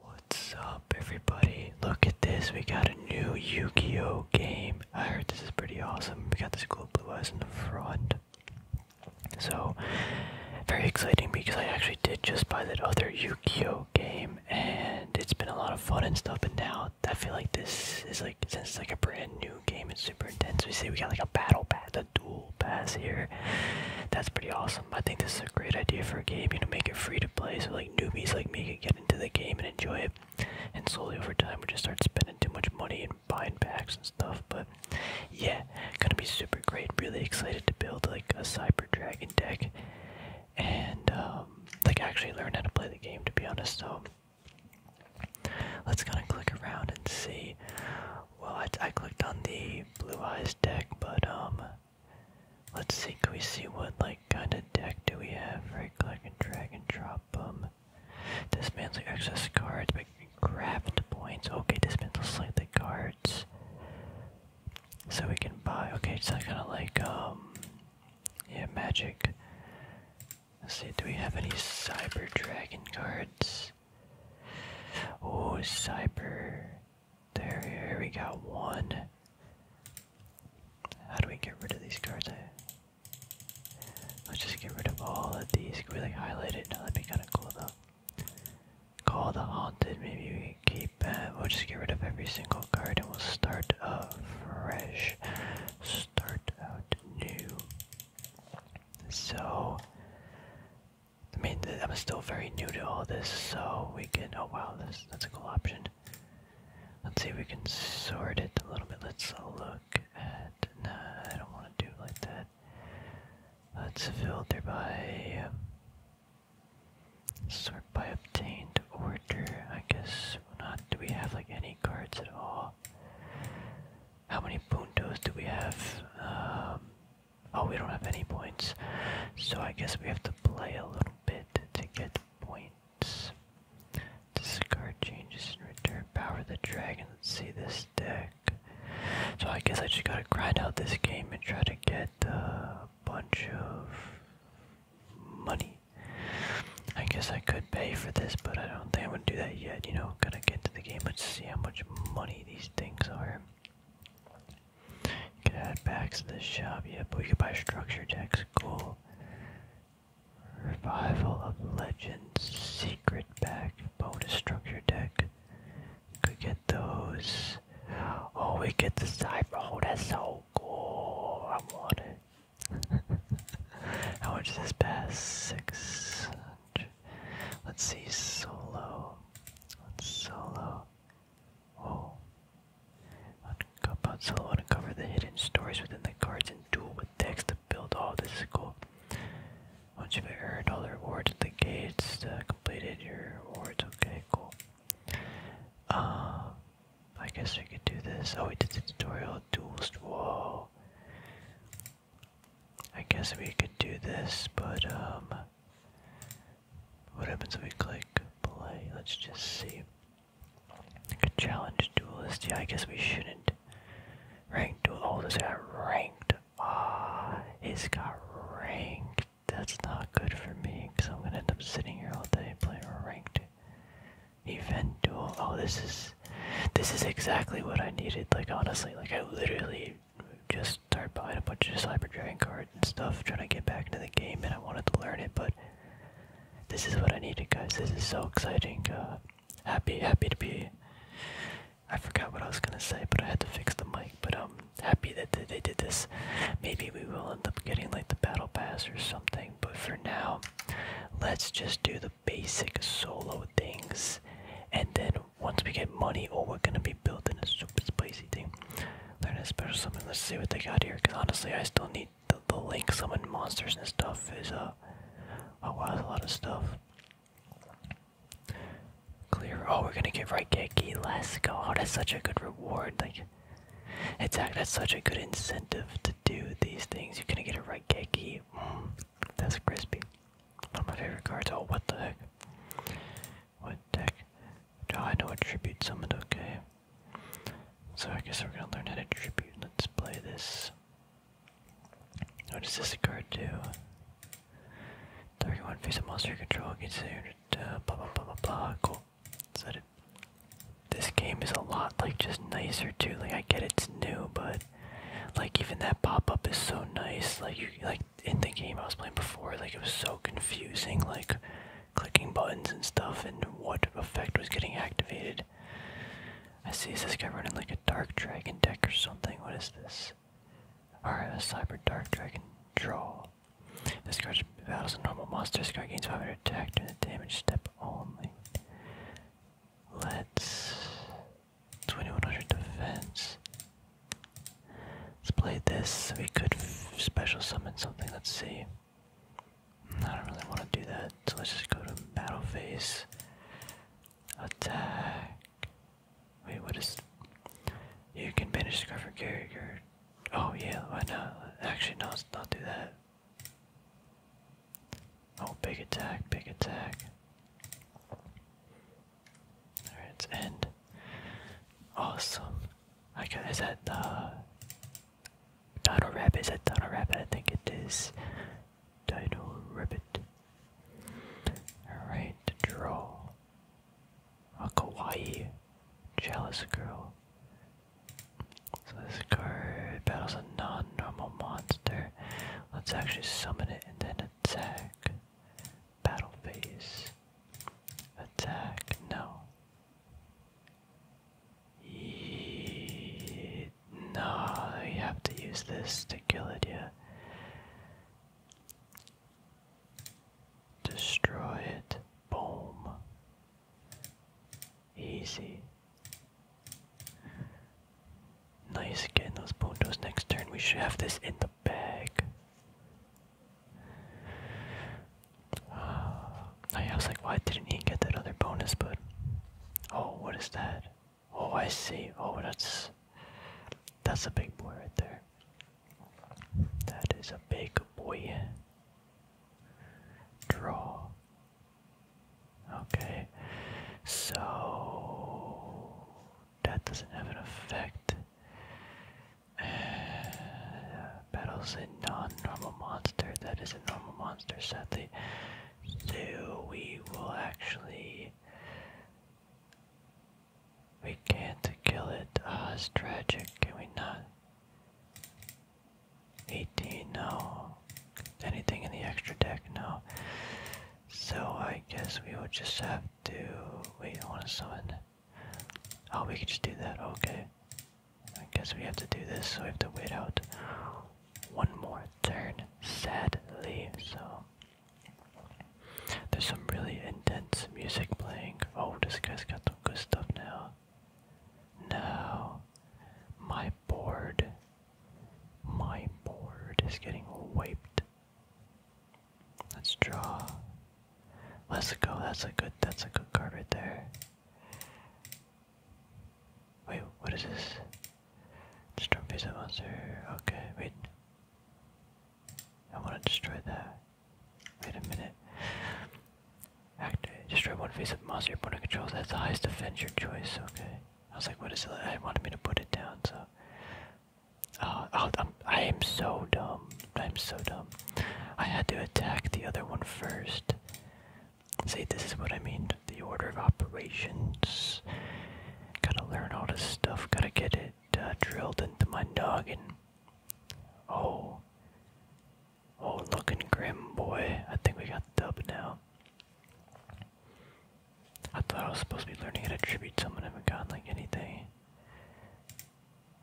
What's up everybody? Look at this, we got a new Yu-Gi-Oh game. I heard this is pretty awesome. We got this cool blue eyes in the front. So very exciting because I actually did just buy that other Yu-Gi-Oh game and it's been a lot of fun and stuff but now I feel like this is like since it's like a brand new game, it's super intense. We see we got like a battle pass, a duel pass here. That's pretty awesome. I think this is a great idea for a game, you know, make it free to play so like newbies like me can get into the game and enjoy it. And slowly over time we just start spending too much money and buying packs and stuff. But yeah, gonna be super great. Really excited to build like a cyber dragon deck and um, like actually learn how to play the game to be honest, so let's kinda click around and see. Well I I clicked on the blue eyes deck, but um Let's see, can we see what like kind of deck do we have? Right click and drag and drop them. Dismantle excess cards by craft points. Okay, dismantle selected cards. So we can buy okay, it's not kinda like um yeah, magic. Let's see, do we have any cyber dragon cards? Oh cyber there we got one. How do we get rid of these cards? Let's just get rid of all of these. Can we like highlight it? No, that'd be kinda cool though. Call the haunted, maybe we keep that. We'll just get rid of every single card and we'll start uh, fresh. Start out new. So I mean, I'm still very new to all this, so we can. Oh wow, that's a cool option. Let's see if we can sort it a little bit. Let's look at. Nah, I don't want to do like that. Let's filter by. Sort by obtained order. I guess not. Do we have like any cards at all? How many puntos do we have? Um, oh, we don't have any points. So I guess we have to play a little bit to get points. Discard changes and return power the dragon. Let's see this deck. So I guess I just gotta grind out this game and try to get a bunch of money. I guess I could pay for this, but I don't think I'm gonna do that yet. You know, going to get to the game. and see how much money these things are could head back to the shop, yeah, but we could buy structure decks, cool. Revival of Legends, Secret Back, bonus structure deck. Could get those. Oh, we get the cyber. Oh, that's so cool. I want it. How much is this pass? Six. Let's see, solo. solo. Oh. Puzzle uncover the hidden stories within the cards and duel with decks to build all this cool. Once you've earned all the rewards at the gates, uh, completed your rewards. Okay, cool. Uh, I guess we could do this. Oh, we did the tutorial duels. Whoa. I guess we could do this, but um, what happens if we click play? Let's just see. Like challenge duelist. Yeah, I guess we shouldn't. Rank duel. Oh, this got ranked. Ah, it's got ranked. That's not good for me because I'm gonna end up sitting here all day playing ranked event duel. Oh, this is this is exactly what I needed. Like honestly, like I literally just started buying a bunch of cyber dragon cards and stuff, trying to get back into the game, and I wanted to learn it, but this is what I needed, guys. This is so exciting. Uh, happy, happy to be. I forgot what I was gonna say, but I had to fix the mic. But I'm um, happy that they, did this. Maybe we will end up getting like the battle pass or something. But for now, let's just do the basic solo things, and then once we get money, oh, we're gonna be building a super spicy thing. Learn a special summon. Let's see what they got here. Cause honestly, I still need the, the link summon monsters and stuff. Is uh, oh, a lot of stuff. Clear. Oh, we're gonna get Raigeki. Let's go. Oh, that's such a good reward. Like, it's that's such a good incentive to do these things. You're gonna get a right, Mm, that's crispy. One of my favorite cards. Oh, what the heck? What deck I know attribute summoned? Okay. So I guess we're gonna learn how to attribute. Let's play this. What does this card do? Target face monster control against it, uh, blah blah blah blah blah. Cool. Is This game is a lot like just nicer too. Like I get it's new, but like even that pop up is so nice. Like you like in the game I was playing before, like it was so confusing. Like clicking buttons and stuff and what effect was getting activated. I see this guy running like a dark dragon deck or something. What is this? Alright, a cyber dark dragon draw. This card battles a normal monster. This card gains 500 attack during the damage step only. Let's 2100 defense. Let's play this. We could special summon something. Let's see. I don't really want to do that, so let's just go to battle phase. Attack. Wait, what is. You can banish Scarf or carry Oh, yeah, why not? Actually, no, let's not do that. Oh, big attack, big attack. Alright, end. Awesome is that the uh, Dino Rabbit? Is that Dino Rabbit? I think it is Dino Rabbit. Alright, draw. A kawaii jealous girl. So this card battles a non-normal monster. Let's actually summon it and then attack. Battle phase. Attack. No. No, you have to use this to kill it, yeah. Destroy it. Boom. Easy. Nice, getting those puntos next turn. We should have this in the bag. I was like, why didn't he get that other bonus? But oh, what is that? Oh, I see. Oh, that's that's a big boy right there. That is a big boy. Draw. Okay, so that doesn't have an effect. Uh, battles a non-normal monster. That is a normal monster, sadly. So we will actually. We can't kill it. Ah, oh, it's tragic. Can we not? 18, no. Anything in the extra deck, no. So I guess we will just have to. Wait, I want to summon. Oh, we can just do that. Okay. I guess we have to do this, so we have to wait out one more turn, sadly. So, there's some really intense music playing. Oh, this guy's got some good stuff now. No, my board, my board is getting wiped. Let's draw. Let's go. That's a good. That's a good card right there. Wait, what is this? Destroy one face of monster. Okay, wait. I want to destroy that. Wait a minute. Activate. Destroy one face of monster your opponent controls. That's the highest defense your choice. Okay. I was like, what is it? I wanted me to put it down, so. Uh, oh, I'm, I am so dumb. I'm so dumb. I had to attack the other one first it. See, this is what I mean. The order of operations. Gotta learn all this stuff. Gotta get it uh, drilled into my noggin. Oh. Oh, looking grim, boy. I think we got the dub now. I thought I was supposed to be learning how to tribute someone. I haven't gotten, like, anything.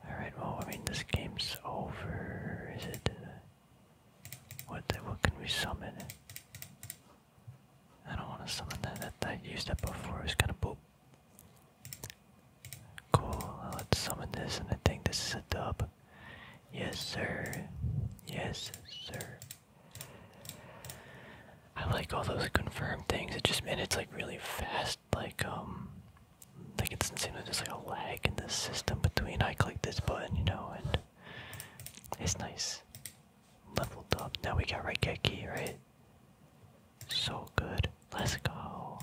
Alright, well, I mean, this game's over. Is it? Uh, what the, What can we summon? I don't want to summon that. that. I used that before. It's was kind of boop. Cool. Let's summon this, and I think this is a dub. Yes, sir. Yes, sir. I like all those confirmed things. It just, man, it's like really fast. Like, um, like it doesn't seem like there's like a lag in the system between I click this button, you know, and it's nice. Leveled up. Now we got right right? So good. Let's go.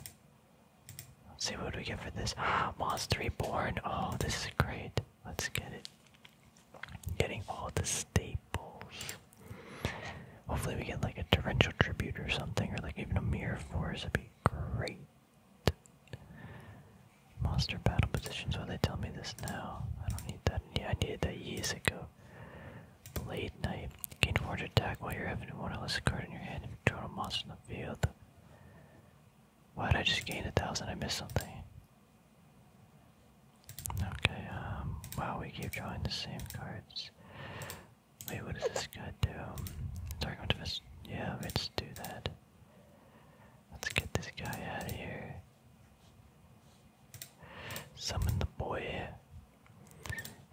Let's see what do we get for this. Monster born. Oh, this is great. Let's get it. Getting all the staples. Hopefully we get like a torrential tribute or something, or like even a mirror force. would be great. Monster battle positions. Why they tell me this now? I don't need that. I needed that years ago. Late night. Gain forward attack while you're having one or less card in your hand and draw a monster from the field. Why did I just gain a thousand? I missed something. Okay, um, wow, we keep drawing the same cards. Wait, what does this guy do? Target yeah, let's do that. Let's get this guy out of here. Summon the boy.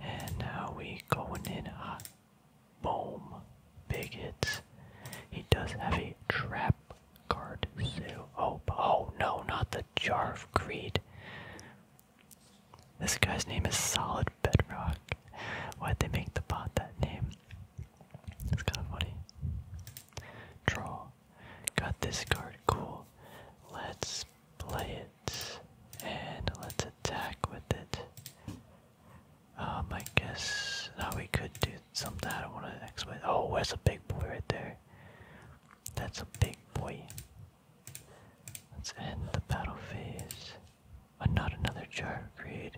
And now we going in hot. Boom. Big He does have trap card, so oh oh no, not the jar of greed. This guy's name is Solid bedrock. Why'd they make the bot that name? It's kind of funny. Troll. Got this card, cool. Let's play it. And let's attack with it. Oh um, my guess now we could do something. I don't want to explain. Oh, where's a big boy right there? That's a big boy. Let's end the battle phase and not another jar of greed.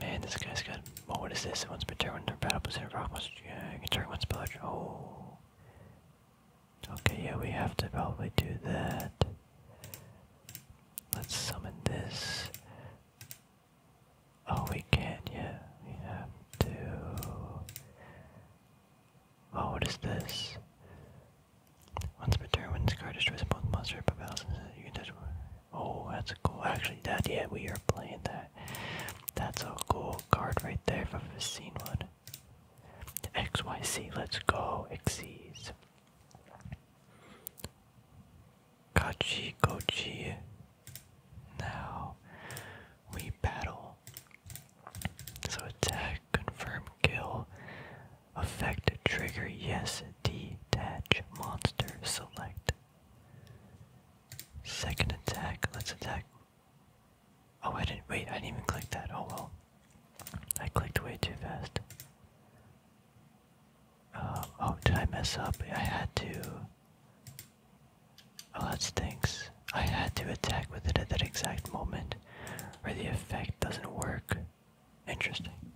Man, this guy's got. what is this? It wants to turn when their battle position rock must. Yeah, you can turn one spell. Oh. Okay, yeah, we have to probably do that. Let's summon this. Oh, we can't. Yeah, we have to. Oh, what is this? Once per when discarded, destroys opponent's monster or battles, you can touch one. Oh, that's cool. Actually, that, yeah, we are playing that. That's a cool card right there for the scene one. XYC, let's go. Xyz. Kachi Kochi. Now we battle. So attack, confirm kill, effect trigger, yes, detach monster, select. Second attack, let's attack. Oh, I didn't, wait, I didn't even click that, oh well. I clicked way too fast. Uh, oh, did I mess up? I had to. Well, oh, that stinks. I had to attack with it at that exact moment, or the effect doesn't work. Interesting.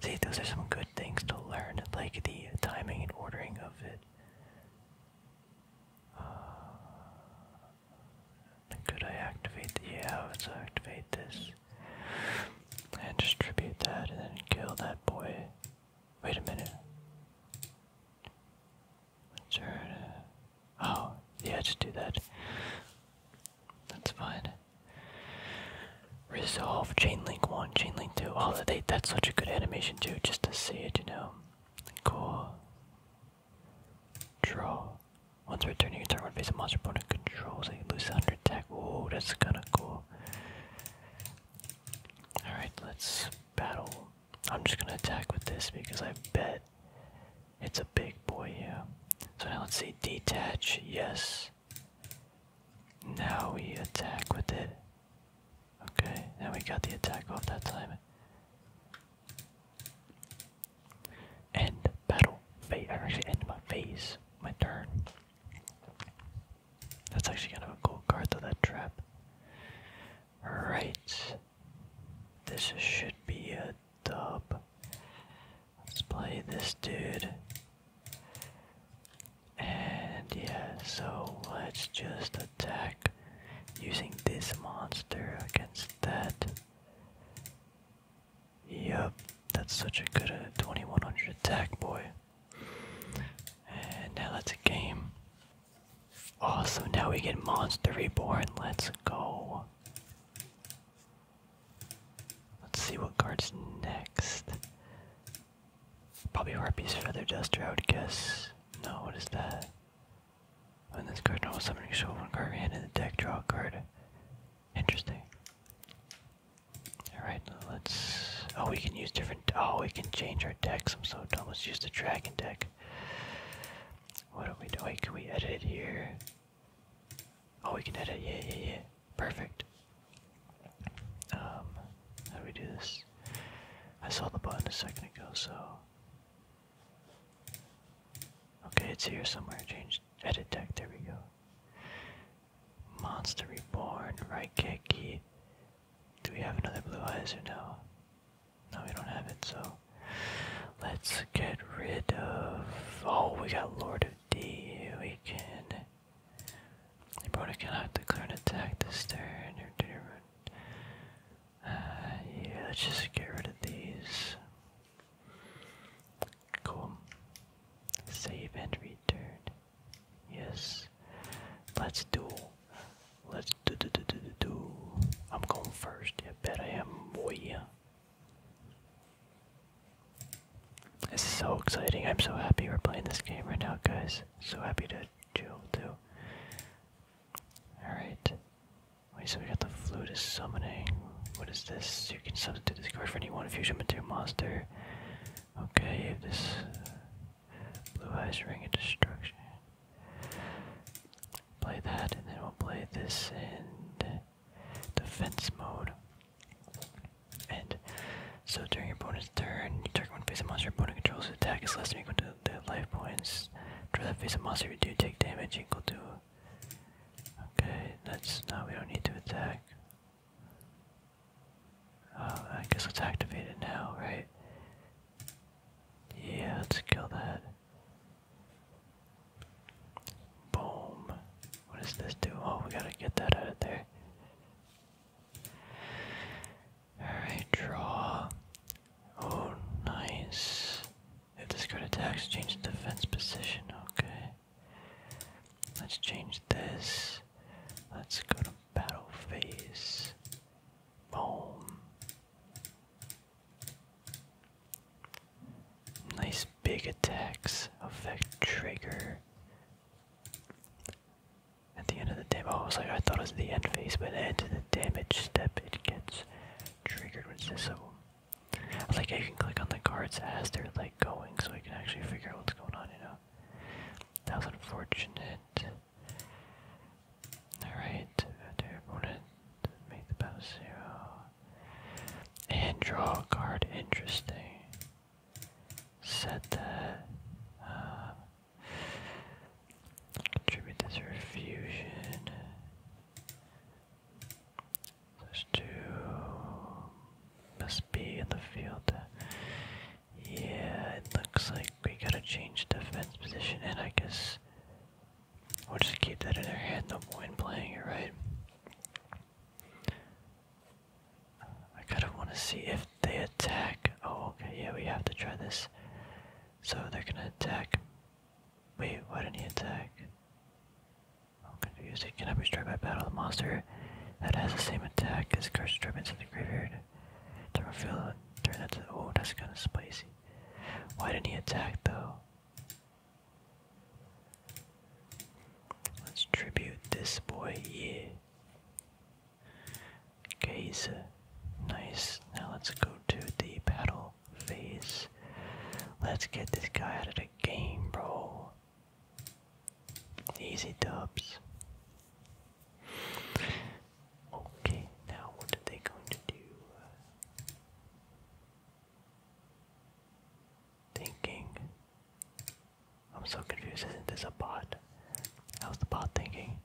See, those are some good things to learn, like the timing and ordering of it. Uh, could I activate the, yeah, let's activate this. And distribute that and then kill that boy. Wait a minute. Oh, yeah, just do that. That's fine. Resolve chain link one, chain link two. Oh, they, that's such a good animation too, just to see it, you know. Cool. Draw. Once we returning your turn, one face a monster opponent controls so it loses under attack. Ooh, that's kind of cool. Alright, let's battle. I'm just gonna attack with this because I bet it's a big boy, yeah. So now let's see. Detach, yes. Now we attack with it. Okay, now we got the attack off that time. End battle phase. actually end my phase, my turn. That's actually kind of a cool card though, that trap. Right. This should be a dub. Let's play this dude. And yeah, so let's just attack using this monster against that. Yup, that's such a good uh, 2100 attack, boy. And now that's a game. Oh, now we get Monster Reborn. Let's go. Let's see what card's next. Probably Harpy's Feather Duster, I would guess. No, what is that? When oh, this card normal summoning show one card hand in the deck, draw card. Interesting. Alright, let's oh we can use different oh we can change our decks. I'm so dumb. Let's use the dragon deck. What are we doing? Can we edit here? Oh, we can edit. Yeah, yeah, yeah. Perfect. Um, how do we do this? I saw the button a second ago, so. Okay, it's here somewhere. Change edit deck. There we go. Monster Reborn, right kick, key. Do we have another blue eyes or no? No, we don't have it, so let's get rid of. Oh, we got Lord of D. We can. The opponent cannot clear an attack this turn. Uh, yeah, let's just get rid of these. Cool. Save and return. Yes. Let's duel. Let's do do do do do do. I'm going first. I bet I am, boy. This is so exciting. I'm so happy we're playing this game right now, guys. So happy to chill too. Alright. Wait, so we got the flute is summoning. What is this? You can substitute this card for any one fusion material monster. Okay, this uh, blue eyes ring of destruction. Play that, and then we'll play this in defense mode. And so during your opponent's turn, you target one face of monster your opponent controls. The attack is less than equal to the life points. Draw that face of monster. you do take damage equal to. Okay, that's now we don't need to attack. Uh, I guess let's activate it now, right? Yeah, let's kill that. Boom. What does this do? Oh, we gotta get that out of there. Alright, draw. Oh, nice. If this card attacks, change the defense position. Okay. Let's change this. Let's go to battle phase. Boom. Nice big attacks. Effect trigger. At the end of the damage, oh, I was like, I thought it was the end phase, but end of the damage step, it gets triggered with this. So, I like, I can click on the cards as they're like going, so I can actually figure out what's going on. You know, that was unfortunate. Alright, your opponent, make the battle zero. And draw a card, interesting. Set that. Uh, contribute this fusion. Those two must be in the field. Yeah, it looks like we gotta change defense position, and I guess We'll just keep that in our head, no point playing it, right? I kind of want to see if they attack. Oh, okay, yeah, we have to try this. So they're gonna attack. Wait, why didn't he attack? i cannot be struck by battle. monster that has the same attack as curse disturbance in the graveyard. To reveal, turn that to. Oh, that's kind of spicy. Why didn't he attack though? Let's tribute this boy, here. Okay, he's uh, nice. Now let's go to the battle phase. Let's get this guy out of the game, bro. Easy dubs. Okay, now what are they going to do? thinking? I'm so confused. Isn't this a bot? How's the bot thinking?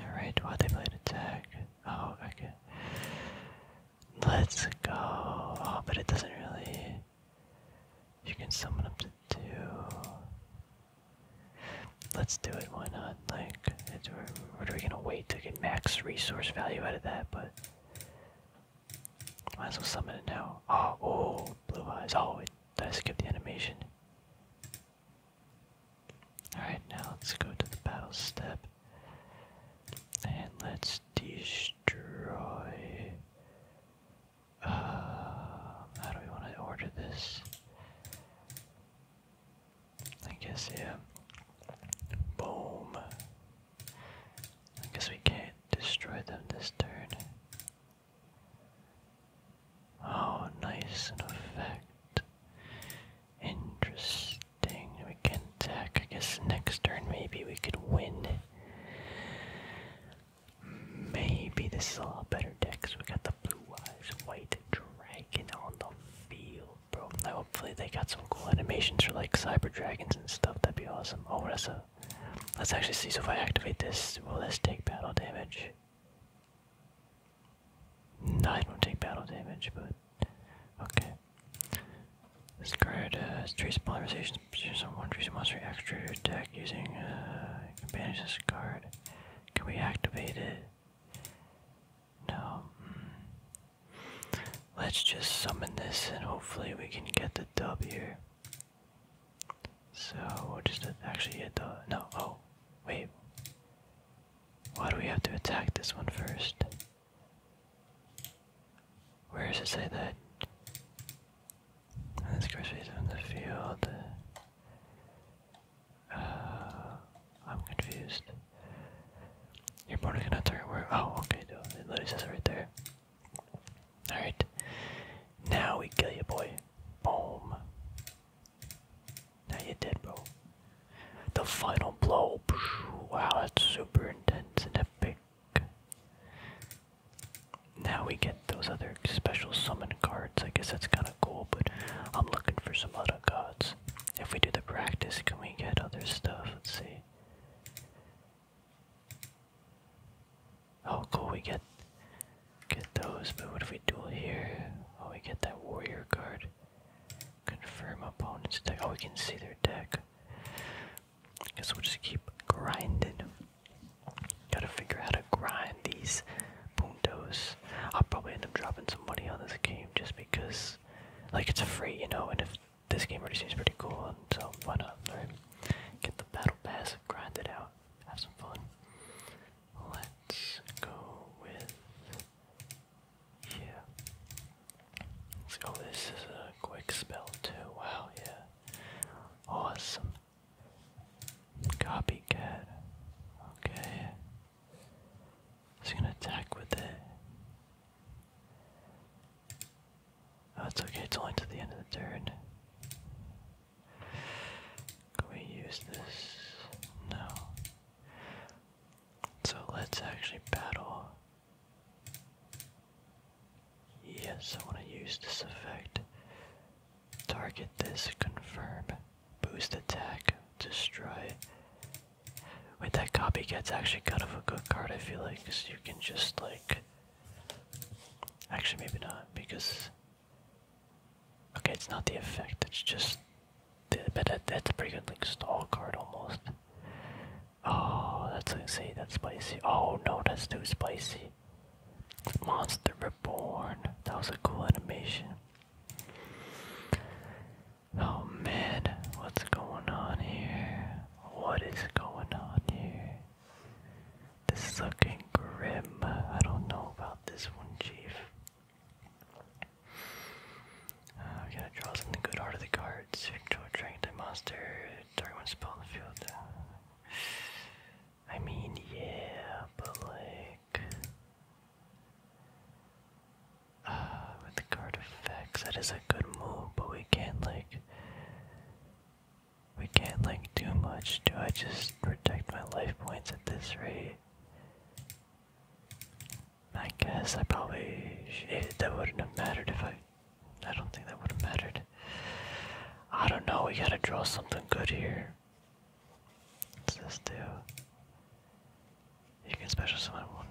Alright, Why they played attack. Oh, okay. Let's go. Oh, but it doesn't really. You can summon up to two. Let's do it. Why not? Like, it's, we're, we're, we gonna wait to get max resource value out of that, but might as well summon it now. Oh, oh, blue eyes. Oh, wait, did I skip the animation? All right, now let's go to the battle step, and let's destroy. Uh, how do we want to order this? I guess, yeah. Boom. I guess we can't destroy them this turn. Oh, nice, an effect. Interesting. We can attack. I guess next turn maybe we could win. Maybe this is a lot better deck. So we got the blue eyes, white dragon on the field bro. Now hopefully they got some cool animations for like cyber dragons and stuff. That'd be awesome. Oh, that's a. Let's actually see. So if I activate this, will this take battle damage? No, I will not take battle damage, but okay. This card uh, trace polarization on one trace monster extra deck using a uh, can banish this card. Can we activate it? No. Hmm. Let's just summon this and hopefully we can get the W. here. So, we'll just actually hit the. No, oh, wait. Why do we have to attack this one first? Where does it say that? This curse phase on the field. Uh, I'm confused. You're boarding an entire where? Oh, okay, dude. it literally says right there. Alright. Now we kill you, boy. Boom. Now you are dead, bro. The final blow. Wow, that's super intense and epic. Now we get those other special summon cards. I guess that's kind of cool, but I'm looking for some other gods. If we do the practice, can we get other stuff? Let's see. Oh, cool. We get get those, but what if we duel here? Oh, we get that warrior card. Confirm opponent's deck. Oh, we can see their deck. I guess we'll just keep grinding. Gotta figure out how to grind these puntos. I'll probably end up dropping some money on this game just because like it's a free, you know, and if this game already seems pretty cool, and so why not, right? Get the battle pass, grind it out, have some fun. Let's go with yeah. Let's go. This is a quick spell too. Wow, yeah. Awesome. Copycat. Okay. It's gonna attack with it. Oh, it's okay, it's only to the end of the turn. Can we use this? No. So let's actually battle. Yes, I want to use this effect. Target this, confirm, boost attack, destroy, Wait, that copycat's actually kind of a good card, I feel like, because you can just, like. Actually, maybe not, because. Okay, it's not the effect, it's just. but that's a pretty good, like, stall card almost. Oh, that's see, that's spicy. Oh no, that's too spicy. Monster Reborn. That was a cool animation. Oh man, what's going on here? What is going on here? This is looking grim. I don't know about this one, Chief. I uh, we gotta draw something good out of the cards. Control dragon to monster. Target one spell in the field. I mean, yeah, but like. Uh, with the card effects, that is a good move, but we can't like we can't like do much. Do I just protect my life points at this rate? I guess I probably should. that wouldn't have mattered if I. I don't think that would have mattered. I don't know. We gotta draw something good here. What's this do? You can special summon one.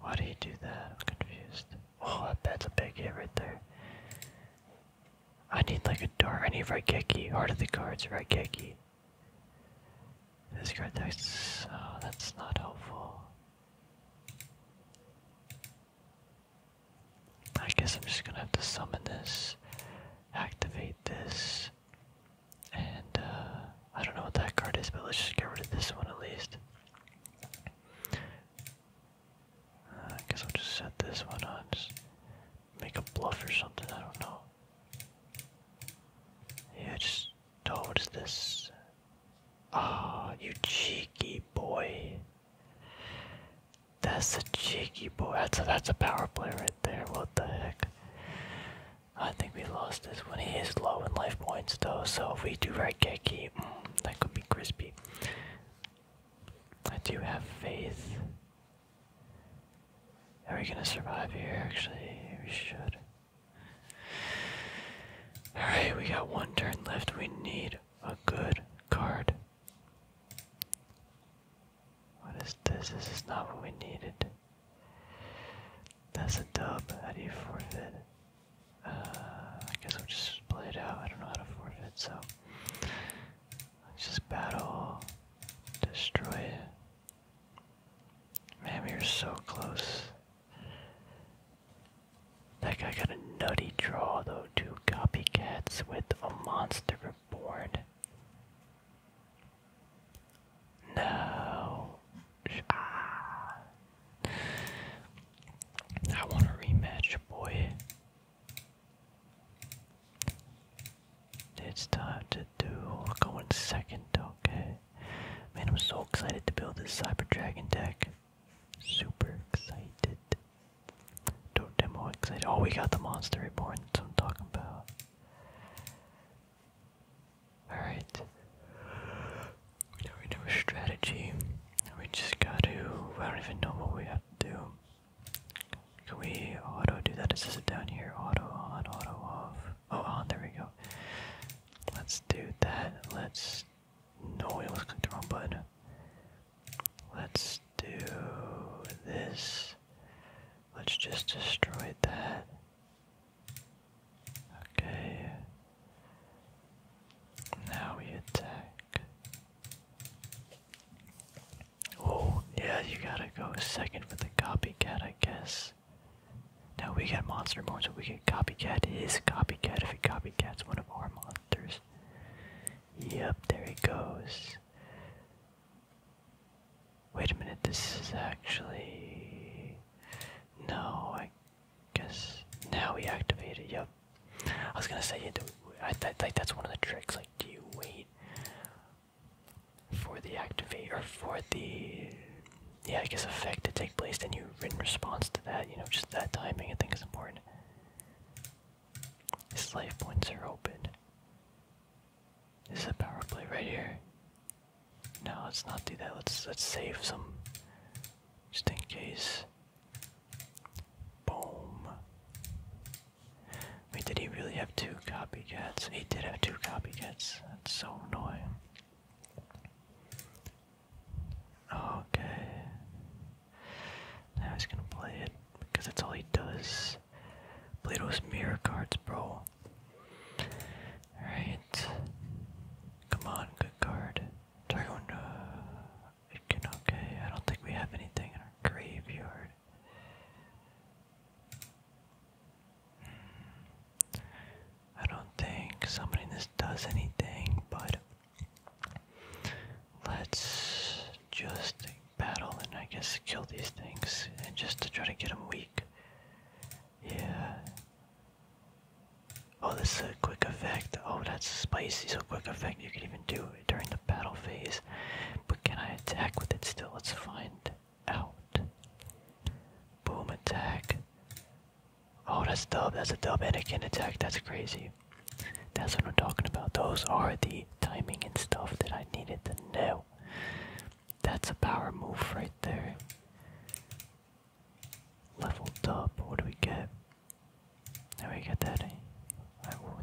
Why do you do that? I'm confused. Oh, that a big hit right there. I need like a door. I need Raigeki. Heart of the cards, Raigeki. This card text. Oh, that's not helpful. I guess I'm just gonna have to summon this, activate this, and uh, I don't know what that card is, but let's just get rid of this one at least. Uh, I guess I'll just set this one on, make a bluff or something, I don't know. Yeah, just, oh, what is this? Ah, oh, you cheeky boy. That's a cheeky boy. That's a, that's a power play right there. What the heck? I think we lost this one. He is low in life points though, so if we do right Geki, mm, that could be crispy. I do have faith. Are we gonna survive here? Actually, we should. Alright, we got one turn left. We need a good card. What is this? This is not what we needed. That's a dub. How do you forfeit? Uh, I guess we'll just play it out. I don't know how to forfeit, so just battle, destroy it. Man, we were so close. That guy got a nutty draw though. Two copycats with a monster reborn. No. Ah. I want a rematch, boy. It's time to do. We're going second, okay? Man, I'm so excited to build this Cyber Dragon deck. Super excited. Don't demo excited. Oh, we got the Monster Reborn. That's what i about. Alright. We do a strategy. We just gotta I don't even know what we have to Can we auto do that? Is this down here? Auto on, auto off. Oh on, there we go. Let's do that. Let's no we almost clicked Let's do this. Let's just destroy that. Okay. Now we attack. Oh, yeah, you gotta go second for the copycat, I guess. Now we got monster more, so we can copycat his copycat if he copycats one of our monsters. Yep, there he goes. Wait a minute, this is actually. No, Guess now we activate it. Yep. I was gonna say it. I think that's one of the tricks. Like, do you wait for the activate or for the yeah, I guess effect to take place, and you in response to that. You know, just that timing. I think is important. His life points are open. This is a power play right here. No, let's not do that. Let's let's save some just in case. Boom. Wait, did he really have two copycats? He did have two copycats. That's so annoying. Okay. Now he's gonna play it because that's all he does. Play those mirror cards, bro. Alright. Come on, good card. Dragon, uh, okay, I don't think we have anything in our graveyard. Hmm. I don't think summoning this does anything, but let's just battle and I guess kill these things and just to try to get them weak. Yeah, Oh, this is a quick effect. Oh, that's spicy. So quick effect. You can even do it during the battle phase. But can I attack with it still? Let's find out. Boom attack. Oh, that's dub. That's a dub can attack. That's crazy. That's what I'm talking about. Those are the timing and stuff that I needed to know. That's a power move right there. Level up. What do we get? Now we get that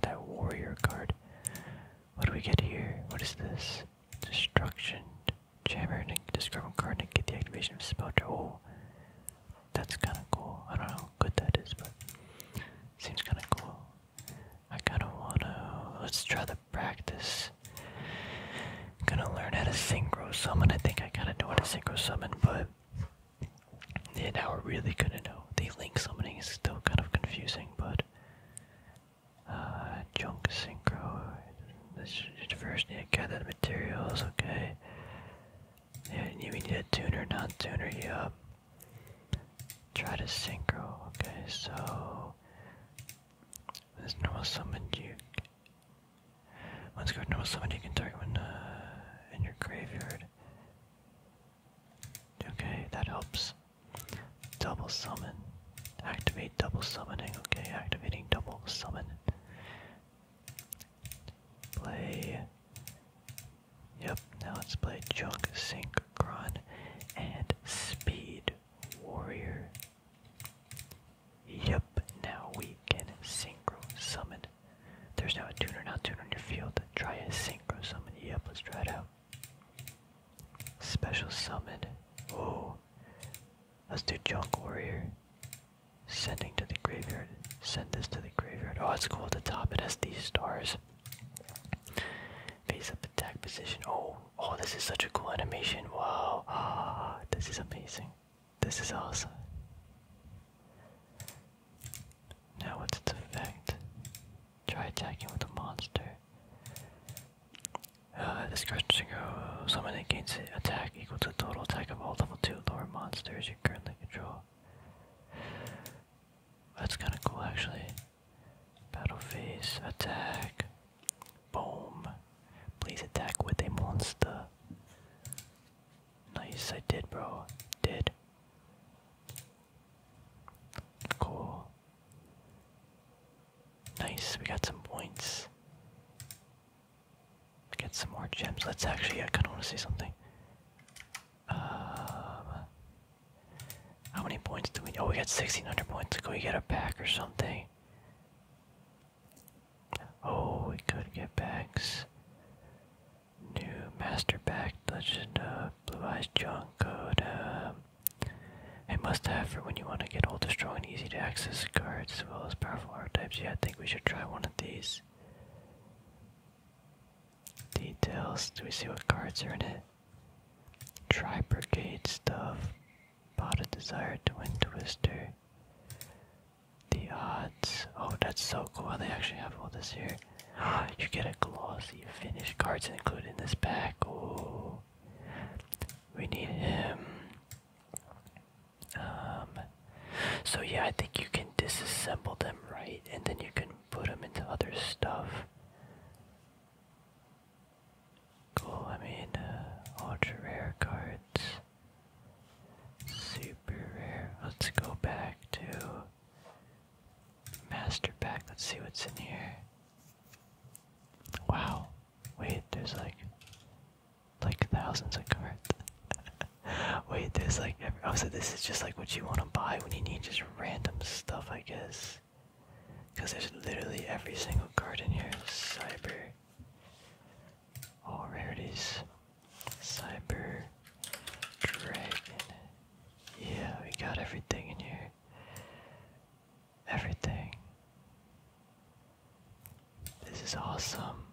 that warrior card. What do we get here? What is this? Destruction chamber. Discard one card and get the activation of spell Oh, that's kind of cool. I don't know how good that is, but seems kind of cool. I kind of wanna. Let's try the practice. I'm gonna learn how to synchro summon. I think I kinda know how to synchro summon, but yeah, now we're really gonna know. The link summoning is still kind of confusing, but uh junk synchro this first need to gather the materials, okay. Yeah, you need a tuner, not tuner, yup. Try to synchro, okay, so this normal summon you once guard normal summon, you can target one uh, in your graveyard. Okay, that helps. Double summon. Activate double summoning. Okay, activating double summon. Play. Yep, now let's play Junk Syncron and Speed Warrior. Yep, now we can synchro summon. There's now a tuner, now tuner on your field. Try a synchro summon. Yep, let's try it out. Special summon. Oh. Let's do junk warrior. Sending to the graveyard. Send this to the graveyard. Oh, it's cool at the top. It has these stars. Face up attack position. Oh, oh, this is such a cool animation. Wow. Ah, this is amazing. This is awesome. Now, what's its effect? Try attacking with a monster. Uh, this question goes summon gains attack equal to total attack of all level 2 lower monsters you currently control. That's kinda cool actually. Battle phase, attack. Boom. Please attack with a monster. Nice, I did, bro. Did. Cool. Nice, we got some points. Get some more gems. Let's actually, I kinda wanna see something. Um, how many points do we, oh we got 1600 points, can we get a pack or something? Oh, we could get backs. New master pack legend of uh, Blue Eyes junko. code. Uh, must have for when you want to get older, strong, and easy to access cards as well as powerful archetypes. Yeah, I think we should try one of these. Details. Do we see what cards are in it? Try Brigade stuff. Bought a desired Twin Twister. The odds. Oh, that's so cool. They actually have all this here. You get a glossy finish cards included in this pack. Ooh. We need him. Um. So yeah, I think you can disassemble them right, and then you can put them into other stuff. Cool. I mean, uh, ultra rare cards. Super rare. Let's go back to Master Pack. Let's see what's in here. Wow. Wait, there's like like thousands of cards. Wait, there's like every oh so this is just like what you want to buy when you need just random stuff, I guess. Cause there's literally every single card in here. Cyber all oh, rarities. Cyber Dragon. Yeah, we got everything in here. Everything. This is awesome.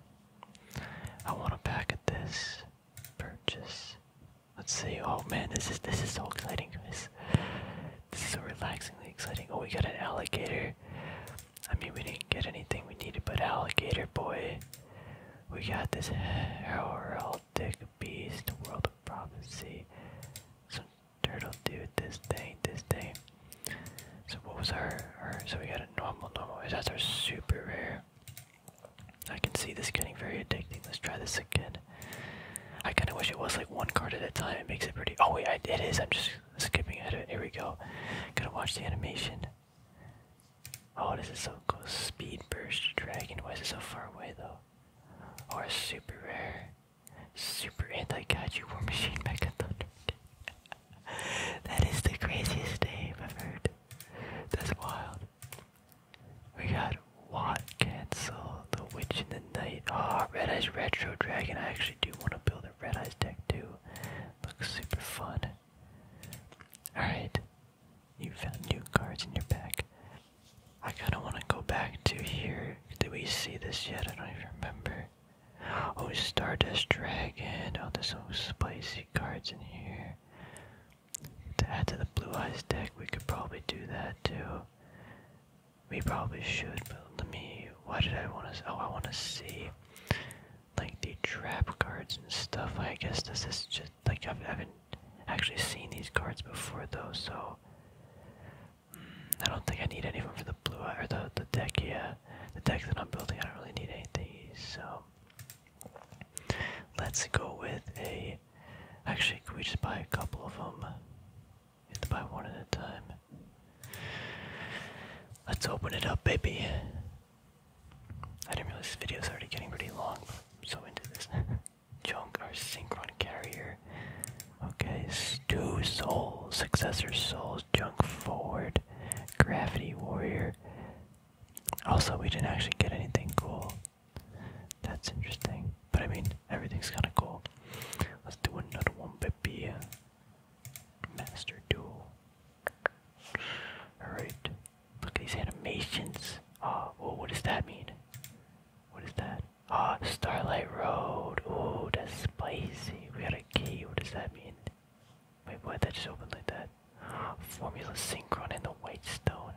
I want to pack of this. Purchase. Let's see. Oh man, this is this is so exciting, guys. This is so relaxingly exciting. Oh, we got an alligator. I mean, we didn't get anything we needed, but alligator boy. We got this heraldic beast, world of prophecy. Some turtle dude, this thing, this thing. So what was our, our so we got a normal, normal, that's our super rare. I can see this getting very addicting. Let's try this again. I kind of wish it was like one card at a time. It makes it pretty. Oh wait, it is. I'm just skipping ahead of it. Here we go. Gotta watch the animation. Oh, this is so cool. Speed Burst Dragon. Why is it so far away though? Or oh, super rare. Super anti-kaiju war machine mecha thunder. that is the craziest name I've heard. That's wild. We got Watt Cancel, The Witch in the Night. Ah, oh, Red Eyes Retro Dragon. I actually do want to build a Red Eyes deck too. Looks super fun. Alright. You found new cards in your pack. I kinda wanna go back to here. Did we see this yet? I don't even remember. Oh, Stardust Dragon. Oh, there's some spicy cards in here. To add to the Blue Eyes deck, we could probably do that too. We probably should, but me. Why did I want to? Oh, I want to see like the trap cards and stuff. I guess this is just like I've, I have i not actually seen these cards before though, so mm, I don't think I need any of them for the blue eye or the the deck. Yeah, the deck that I'm building, I don't really need any of these. So let's go with a. Actually, can we just buy a couple of them? We have to buy one at a time. Let's open it up, baby. I didn't realize this video was already getting pretty long, so into this. Junk, our Synchron Carrier. Okay, two souls, successor souls, junk forward, gravity warrior. Also, we didn't actually get anything cool. That's interesting. But I mean, everything's kinda cool. Let's do another one, baby. Master duel. Alright. Look at these animations. Oh, what does that mean? What is that? Ah, oh, Starlight Road. Oh, that's spicy. We got a key. What does that mean? Wait, what? That just open like that. Formula Synchron and the White Stone.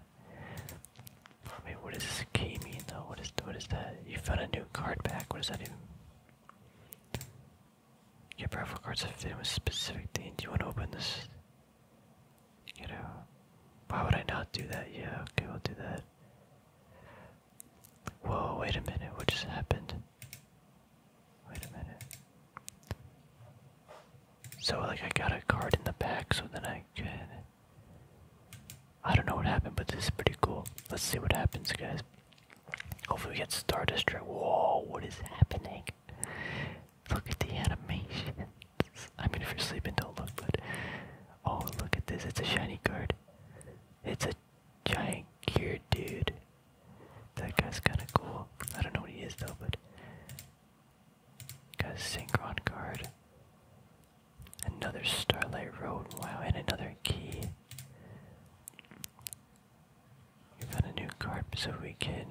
Wait, what does this key mean though? What is what is that? You found a new card back. What does that do? Your profile cards are in a specific things. Do you want to open this? You know, why would I not do that? Yeah, okay, we'll do that. Whoa, wait a minute, what just happened? Wait a minute. So, like, I got a card in the back, so then I can. I don't know what happened, but this is pretty cool. Let's see what happens, guys. Hopefully we get Stardust Destroyer. Whoa, what is happening? Look at the animation. I mean, if you're sleeping, don't look, but... Oh, look at this. It's a shiny card. It's a giant gear dude. That guy's kinda cool. I don't know what he is, though, but... Got Synchron card. Another Starlight Road. Wow, and another key. We got a new card so we can.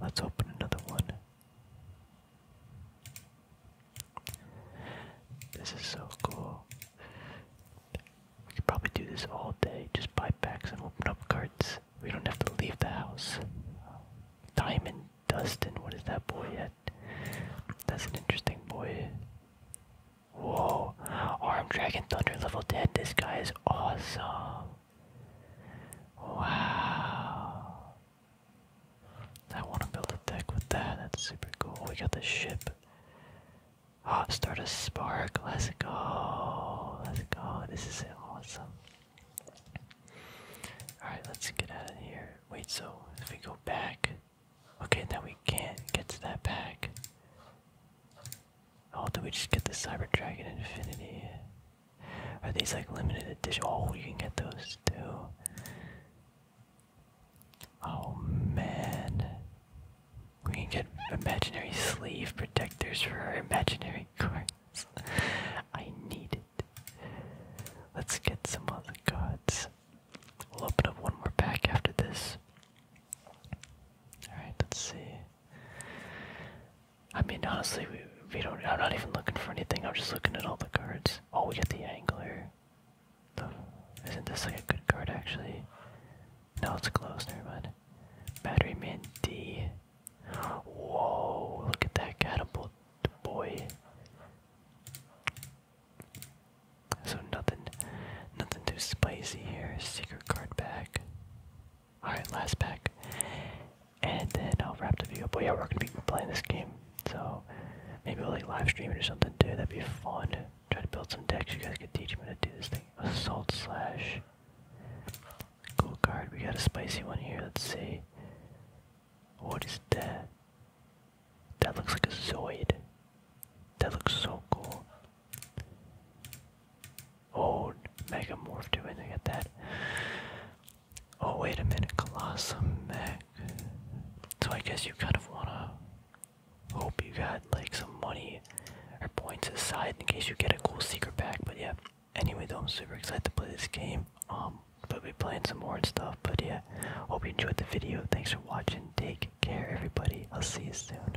Let's open another one. This is so cool. We could probably do this all day. Just buy packs and open up cards. We don't have to leave the house. Diamond Dustin, what is that boy yet? That's an interesting boy. Whoa, Arm Dragon Thunder level 10. This guy is awesome. Wow. I want to build a deck with that. That's super cool. We got the ship. Ah, start a spark. Let's go. Let's go. This is awesome. Alright, let's get out of here. Wait, so if we go back. Okay, now we can't get to that back. Oh, did we just get the Cyber Dragon Infinity? Are these like limited edition? Oh, you can get those too. Oh man. We can get imaginary sleeve protectors for our imaginary cards. I need it. Let's get some other cards. We'll open up one more pack after this. Alright, let's see. I mean, honestly, we don't. I'm not even looking for anything. I'm just looking at all the cards. Oh, we got the angler. The, isn't this like a good card actually? No, it's closed. Never Battery Man D. Whoa! Look at that catapult boy. So nothing, nothing too spicy here. Secret card back. Alright, last pack. And then I'll wrap the video up. But yeah, we're gonna be playing this game. So maybe we'll like live stream it or something too. That'd be fun. Try to build some decks. You guys could teach me how to do this thing. Assault slash. Cool card. We got a spicy one here. Let's see. What is that? That looks like a Zoid. That looks so cool. Oh, Megamorph do anything at that. Oh, wait a minute, Colossal Meg. So I guess you kind of want to hope you got like some money or points aside in case you get a cool secret pack. but yeah. Anyway, though, I'm super excited to play this game. Um, but we'll playing some more stuff, but yeah. Hope you enjoyed the video. Thanks for watching. Take care, everybody. I'll see you soon.